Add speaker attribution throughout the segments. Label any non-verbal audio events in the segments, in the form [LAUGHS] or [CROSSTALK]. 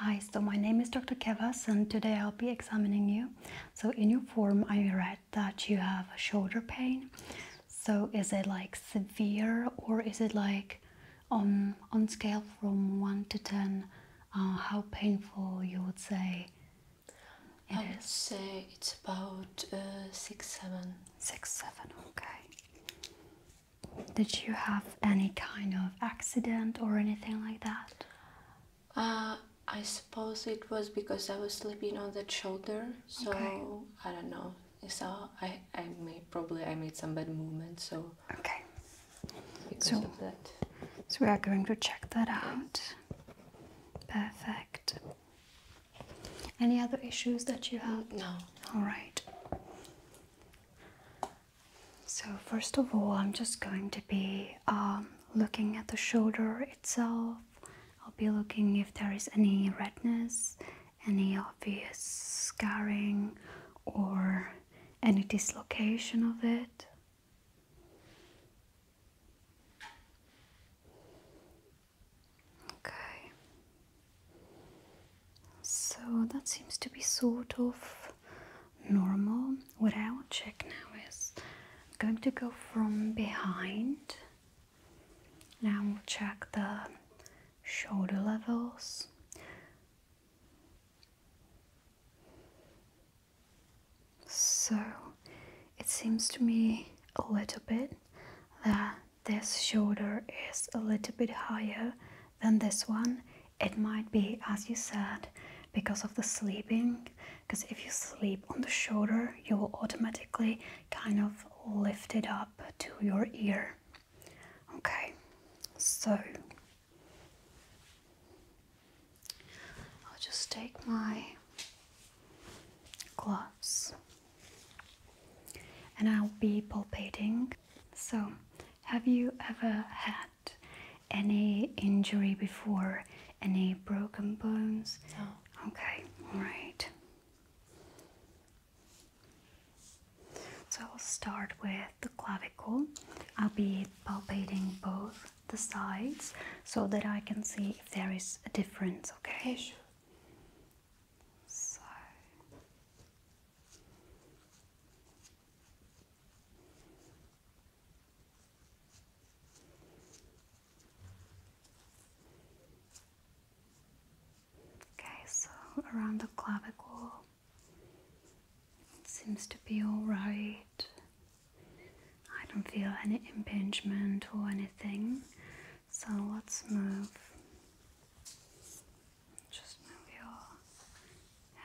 Speaker 1: Hi, so my name is Dr. Kevas and today I'll be examining you. So in your form I read that you have shoulder pain. So is it like severe or is it like on um, on scale from 1 to 10 uh, how painful you would say
Speaker 2: I would say it's about uh, six, seven. Six, seven.
Speaker 1: Okay. Did you have any kind of accident or
Speaker 2: anything like that? Uh, I suppose it was because I was sleeping on that shoulder, so I don't know. So I, I may probably I made some bad movement, so okay. so,
Speaker 1: So we are going to check that out. Perfect. Any other issues that you have? No. All right. So, first of all, I'm just going to be um, looking at the shoulder itself. I'll be looking if there is any redness, any obvious scarring, or any dislocation of it. Okay. So that seems to be sort of normal. What I will check now is going to go from behind. Now we'll check the shoulder levels. So it seems to me a little bit that this shoulder is a little bit higher than this one. It might be, as you said, because of the sleeping. Because if you sleep on the shoulder, you will automatically kind of lift it up to your ear. Okay, so I'll just take my gloves and I'll be palpating. So, have you ever had any injury before? Any broken bones? No. Okay, alright. So I'll start with the clavicle. I'll be palpating both the sides so that I can see if there is a difference, okay? So. Okay, so around the clavicle it seems to be all right. I don't feel any impingement or anything, so let's move. Just move your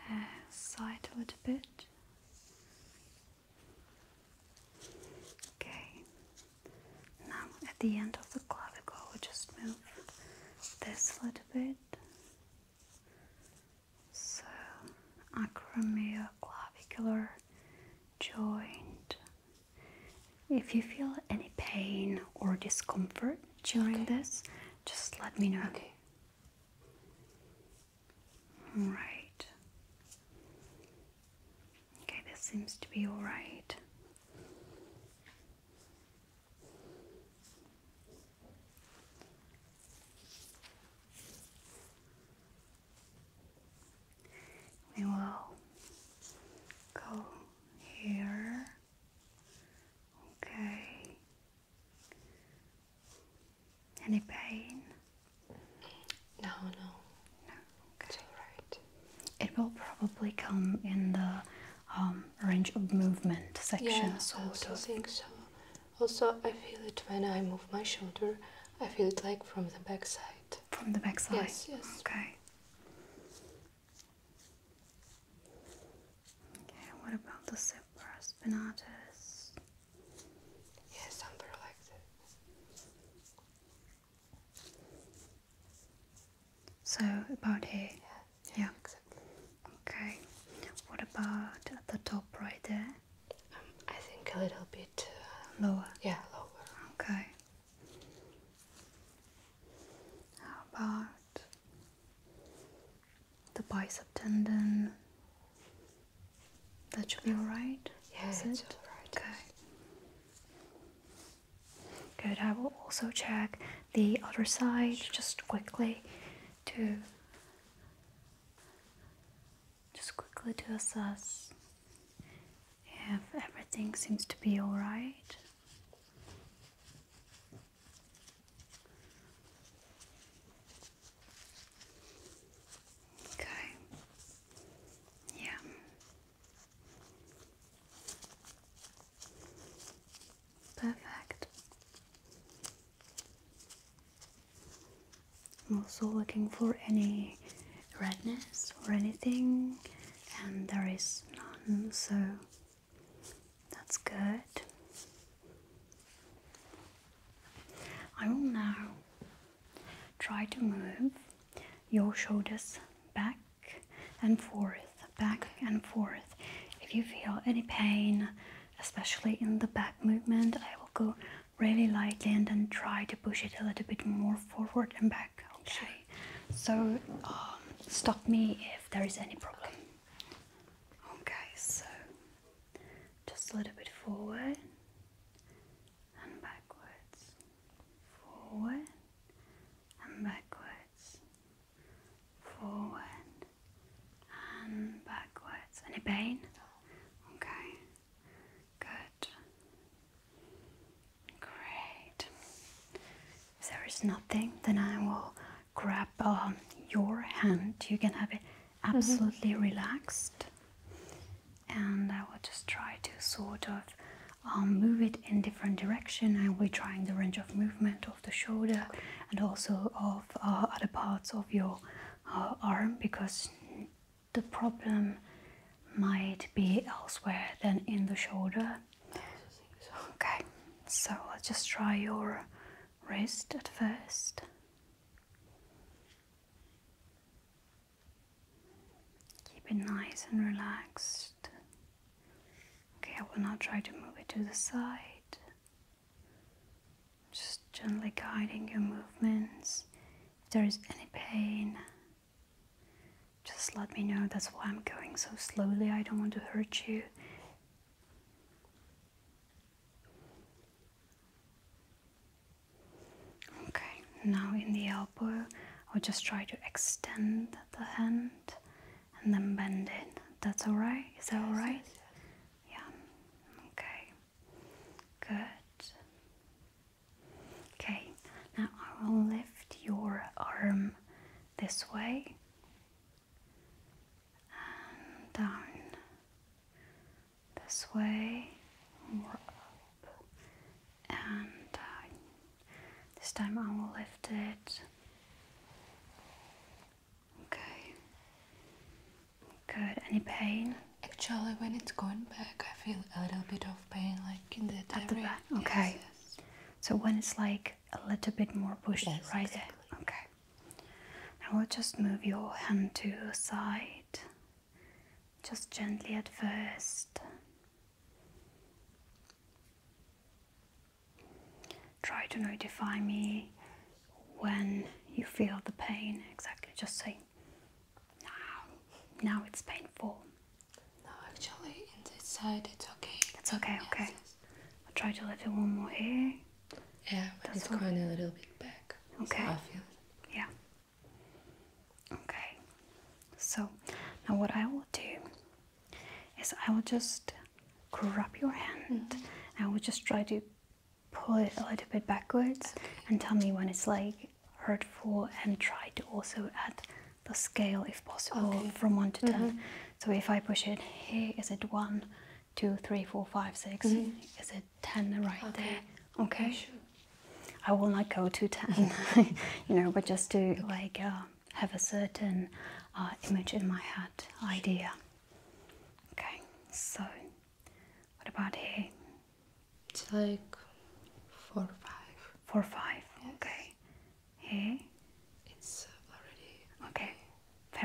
Speaker 1: hair side a little bit. Okay, now at the end of the clavicle, we just move this a little bit. So, acromioclavicular joint. If you feel any pain or discomfort during this, just let me know. Okay. Right. Okay, this seems to be all right. We will go here.
Speaker 2: Okay. Any pain? No, no. No. It's all right. It will probably
Speaker 1: come in the um, range of movement section. Yeah,
Speaker 2: I also think so. Also, I feel that when I move my shoulder. I feel it like from the backside. From the backside? Yes, yes. Okay.
Speaker 1: Okay, what about the supra spinatus?
Speaker 2: Yeah, something like that.
Speaker 1: So about here? Yeah, yeah. Exactly. Okay. What about at the top right there? I think a little bit uh, lower. Yeah, lower. Okay. How about the bicep tendon? That should be alright. Yeah, it's alright. Okay. Good. I will also check the other side just quickly to just quickly to assess if everything seems to be alright. Okay. Yeah. Perfect. I'm also looking for any redness or anything, and there is none, so that's good. I will now try to move your shoulders back and forth, back and forth. If you feel any pain, especially in the back movement, I will go really lightly and then try to push it a little bit more forward and back okay so um, stop me if there is any problem okay so just a little bit forward and backwards forward and backwards forward and backwards any pain okay Good. Great. If there is nothing, then I will grab um, your hand. You can have it mm-hmm. absolutely relaxed. And I will just try to sort of um, move it in different direction. And we're trying the range of movement of the shoulder and also of uh, other parts of your uh, arm because the problem might be elsewhere than in the shoulder. So. Okay, so let's just try your wrist at first. Keep it nice and relaxed. Okay, I will now try to move it to the side just gently guiding your movements. If there is any pain, just let me know. That's why I'm going so slowly. I don't want to hurt you. Okay, now in the elbow, I'll just try to extend the hand and then bend it. That's alright? Is that alright? Yeah. Okay. Good. Okay, now I will lift your arm this way and down this way and This time I will lift it.
Speaker 2: Okay. Good. Any pain? Actually, when it's going back, I feel a little bit of pain, like in the back. Okay. So when it's like a little bit more pushed, right there. Okay.
Speaker 1: Now we'll just move your hand to the side, just gently at first. Try to notify me when you feel the pain exactly. Just say now, now it's painful.
Speaker 2: No, actually, in this side it's okay. It's okay, okay. I'll try to lift it one more here. Yeah, but That's it's okay. going a little bit back. Okay. I feel
Speaker 1: Yeah. Okay. So, now what I will do is I will just grab your hand mm-hmm. I will just try to pull it a little bit backwards and tell me when it's like hurtful and try to also add the scale if possible from 1 to 10. Mm-hmm. So if I push it here, is it 123456 mm-hmm. Is it 10 right there? Okay. Sure. I will not go to 10, [LAUGHS] [LAUGHS] you know, but just to like uh, have a certain uh, image in my head, idea. Okay, so what about here? It's like four five. Four five. Okay. Here. It's already okay.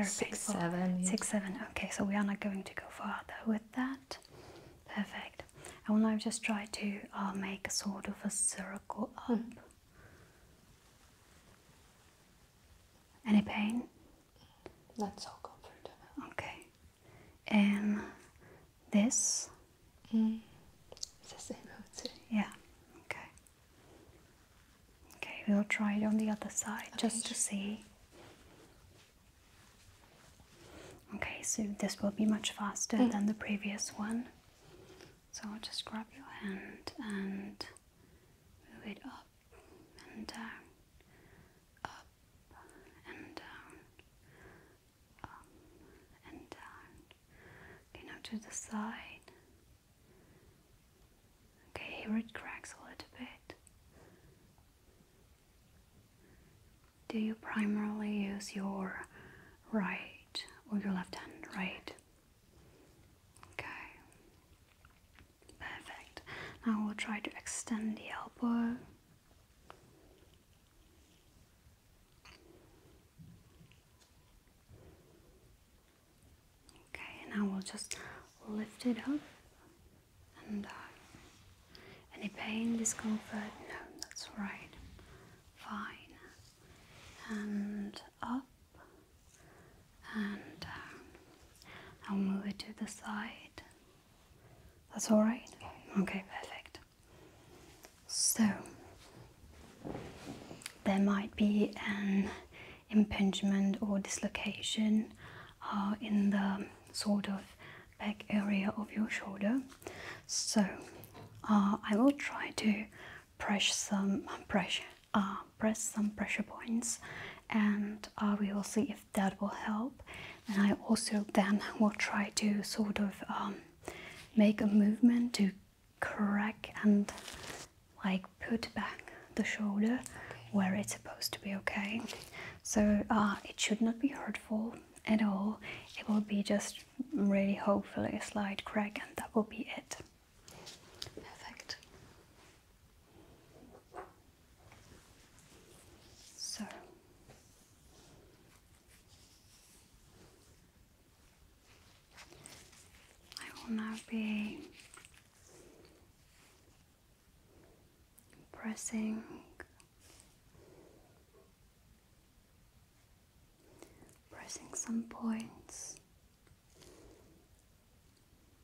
Speaker 1: six seven. Six seven. Okay, so we are not going to go further with that. Perfect. I will now just try to uh, make a sort of a circle up. Hmm. Any pain? Not so comfortable. Okay. And this? Mm. the same, I Yeah. Okay. Okay, we'll try it on the other side just to see. Okay, so this will be much faster mm. than the previous one. So I'll just grab your hand and move it up and down, up and down, um, up um, and down. Uh, okay, now to the side. Okay, it cracks a little bit. Do you primarily use your right or your left hand? Right. Okay. Perfect. Now we'll try to extend the elbow Okay, and I will just lift it up and down. Uh, any pain, discomfort? No, that's right. Fine. And up and down. I'll move it to the side that's all right? Okay, perfect. So, there might be an impingement or dislocation uh, in the sort of back area of your shoulder. So, uh, I will try to press some pressure, uh, press some pressure points, and we will see if that will help and I also then will try to sort of um, make a movement to crack and like put back the shoulder where it's supposed to be okay. So uh, it should not be hurtful at all. It will be just really hopefully a slight crack and that will be it. Perfect. So I will now be pressing pressing some points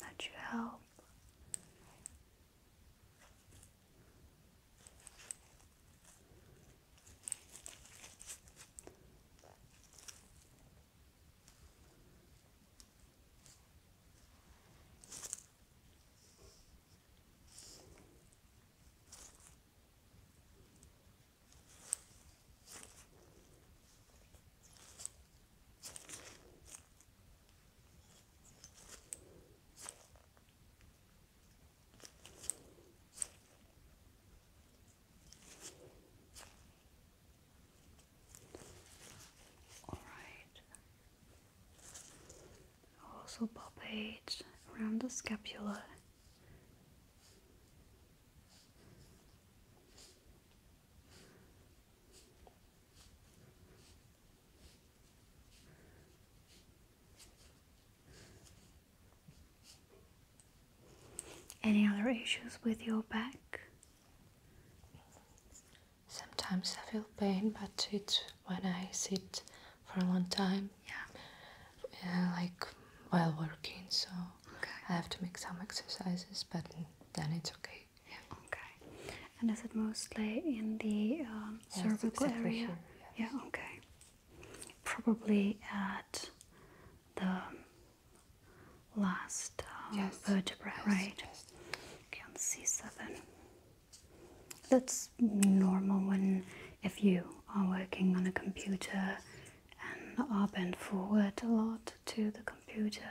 Speaker 1: Let you help. All right. Also palpate around the scapula.
Speaker 2: Any other issues with your back? Sometimes I feel pain, but it's when I sit for a long time. Yeah. Uh, like while working, so I have to make some exercises, but then it's okay.
Speaker 1: Okay. And is it mostly in the um, cervical area? Yes. Yeah. Okay. Probably at the last um, vertebra, right? Yes. Okay, on C7. That's normal when if you are working on a computer and are bent forward a lot to the computer.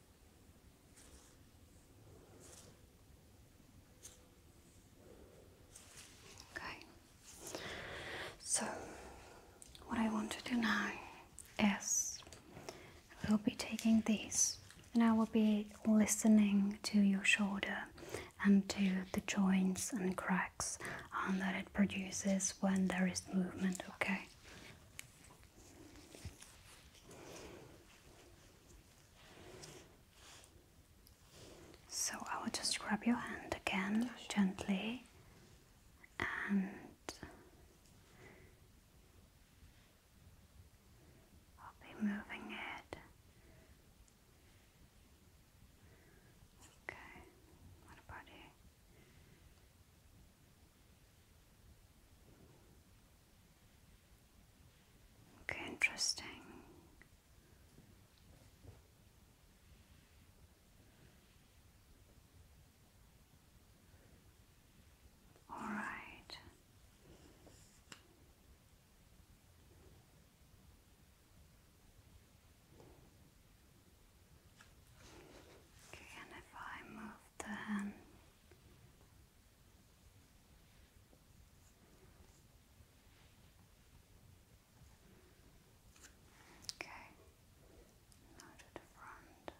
Speaker 1: Okay. So, what I want to do now is I will be taking these and I will be listening to your shoulder and to the joints and cracks um, that it produces when there is movement, okay? So I will just grab your hand again gently and I'll be moving it. Okay, what about you? Okay, interesting. All right. Okay, and if I move the Okay, now to the front.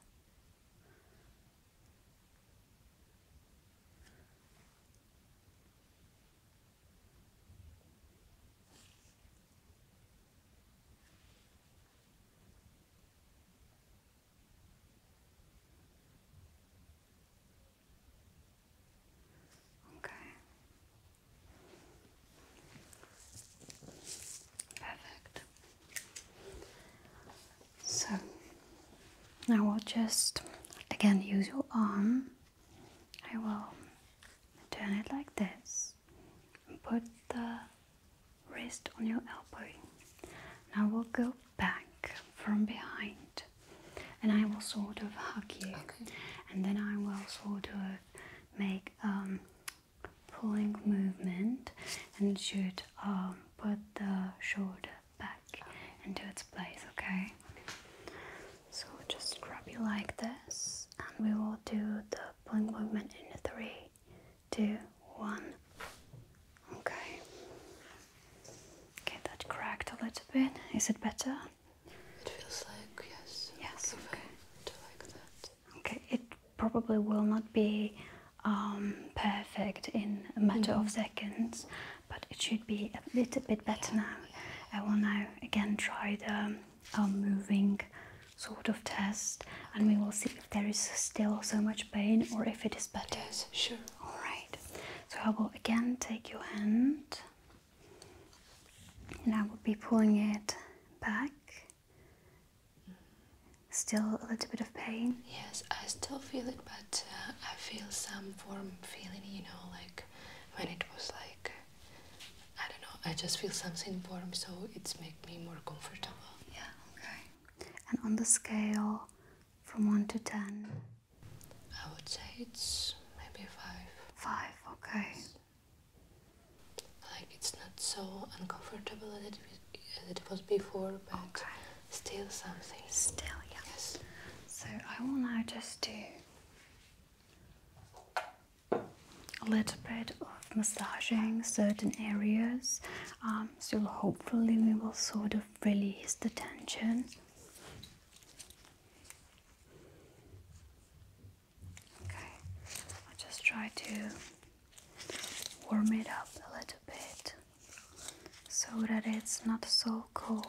Speaker 1: Okay. Perfect. So now we'll just again use your arm. I will turn it like this put the wrist on your elbow. Now we'll go back from behind and I will sort of hug you. And then I will sort of make a um, pulling movement and should um, put the shoulder back into its place, okay? So just grab you like this and we will do the pulling movement in three, three, two, one. Okay. Okay, that cracked a little bit. Is it better? It feels like yes. Yes. Okay. Okay. It probably will not be um, perfect in a matter of mm-hmm. seconds, but it should be a little bit better now. I will now again try the um, moving sort of test and we will see if there is still so much pain or if it is better. sure. Alright, so I will again take your hand and I will be pulling it back. Still a little bit of
Speaker 2: pain? Yes, I still feel it, but uh, I feel some warm feeling, you know, like when it was like, I don't know, I just feel something warm, so it's make me more comfortable. Yeah. Okay. And on the scale from 1 to 10? I would say it's maybe 5. 5, okay. like it's not so uncomfortable as it, as it was before, but still something. Still, yes. So I will now just do a little
Speaker 1: bit of massaging certain areas um, so hopefully we will sort of release the tension okay i just try to warm it up a little bit so that it's not so cold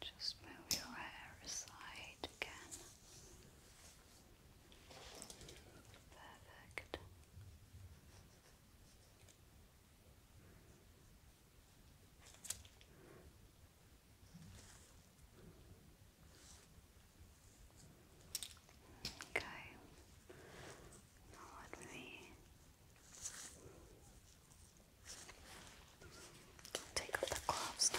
Speaker 2: Just move your hair aside again. Perfect. Okay. Now let me Take off the gloves now.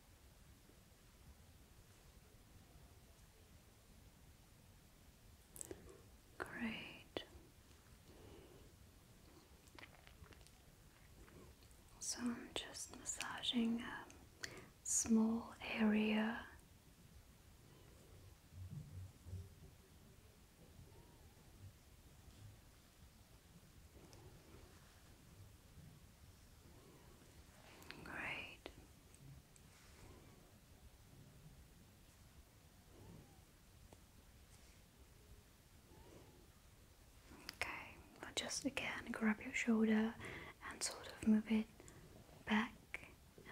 Speaker 2: Great.
Speaker 1: So I'm just massaging a small area. Great. Okay, just again grab your shoulder and sort of move it back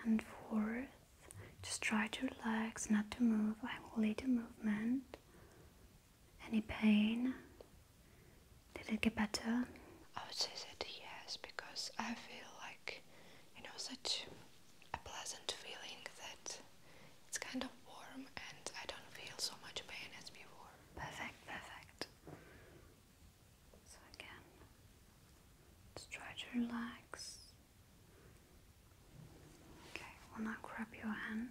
Speaker 1: and forth. Just try to relax, not to move. I will lead the movement.
Speaker 2: Any pain did it get better? I would say that yes, because I feel like, you know, such a pleasant feeling that it's kind of warm and I don't feel so much pain as before. Perfect, perfect. So again,
Speaker 1: just try to relax. Okay, I will grab your hand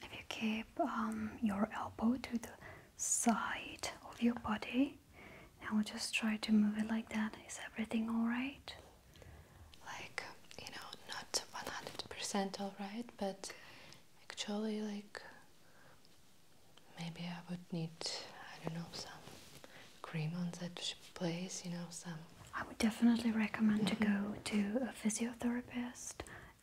Speaker 1: if you keep um, your elbow to the side of your body, now just
Speaker 2: try to move it like that. Is everything all right? Like you know, not one hundred percent all right, but actually, like maybe I would need I don't know some cream on that place, you know, some. I would definitely recommend to go mm-hmm. to a physiotherapist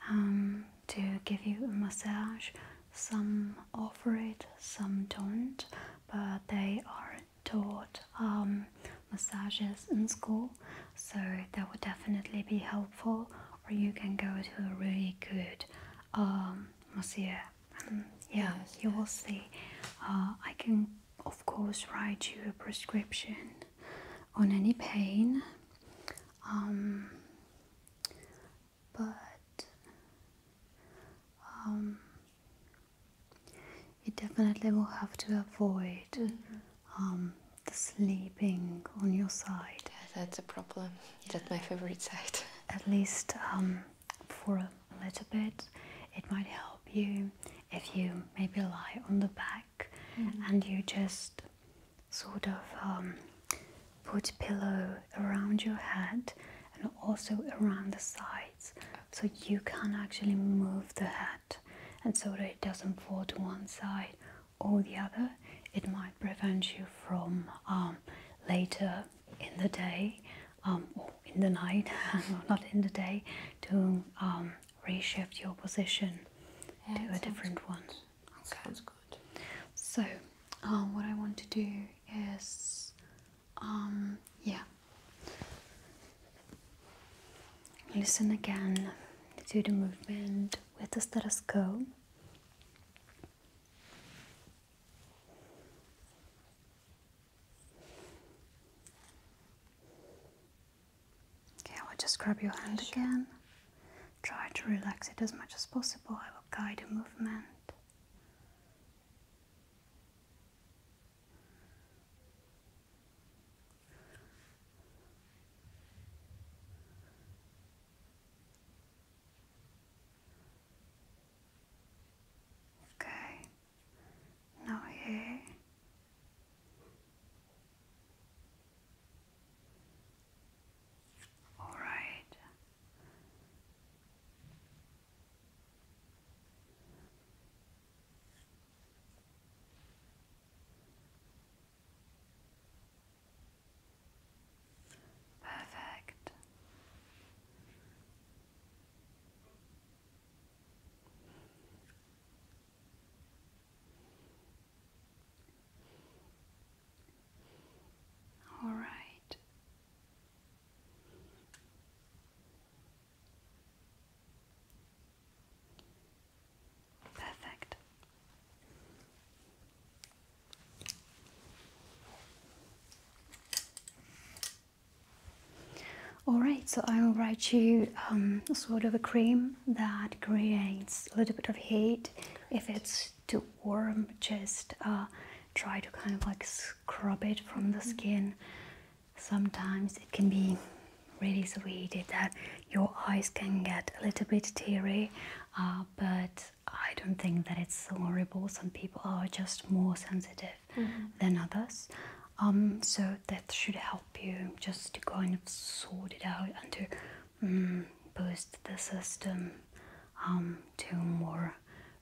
Speaker 1: um, to give you a massage. Some offer it, some don't, but they are taught um, massages in school, so that would definitely be helpful. Or you can go to a really good um, masseur. yeah, you will see. Uh, I can of course, write you a prescription on any pain. Um, but um, you definitely will have to avoid mm-hmm. um, the sleeping on your side.
Speaker 2: that's a problem. Yeah. That's my favorite side. At
Speaker 1: least um, for a little bit, it might help you if you maybe lie on the back mm-hmm. and you just sort of um, put a pillow around your head and also around the sides so you can actually move the head and so that it doesn't fall to one side or the other it might prevent you from um, later in the day um, oh, in the night, [LAUGHS] not in the day, to um, reshift your position to a different one. Sounds good. So, um, what I want to do is, um, yeah, listen again to the movement Where does the status go? Okay, I will just grab your hand again. Try to relax it as much as possible. I will guide a movement. Okay, now here all right perfect all right. Perfect. All right, so I'll write you um, sort of a cream that creates a little bit of heat. If it's too warm, just uh, try to kind of like scrub it from the mm-hmm. skin. Sometimes it can be really sweet that your eyes can get a little bit teary, uh, but I don't think that it's horrible. Some people are just more sensitive than others. Um, so that should help you just to kind of sort it out and to mm, boost the system um, to more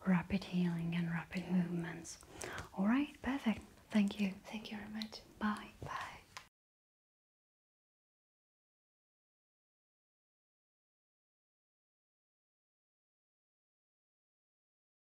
Speaker 1: rapid healing and rapid movements. All right, perfect. Thank you. Thank you very much. Bye. Bye.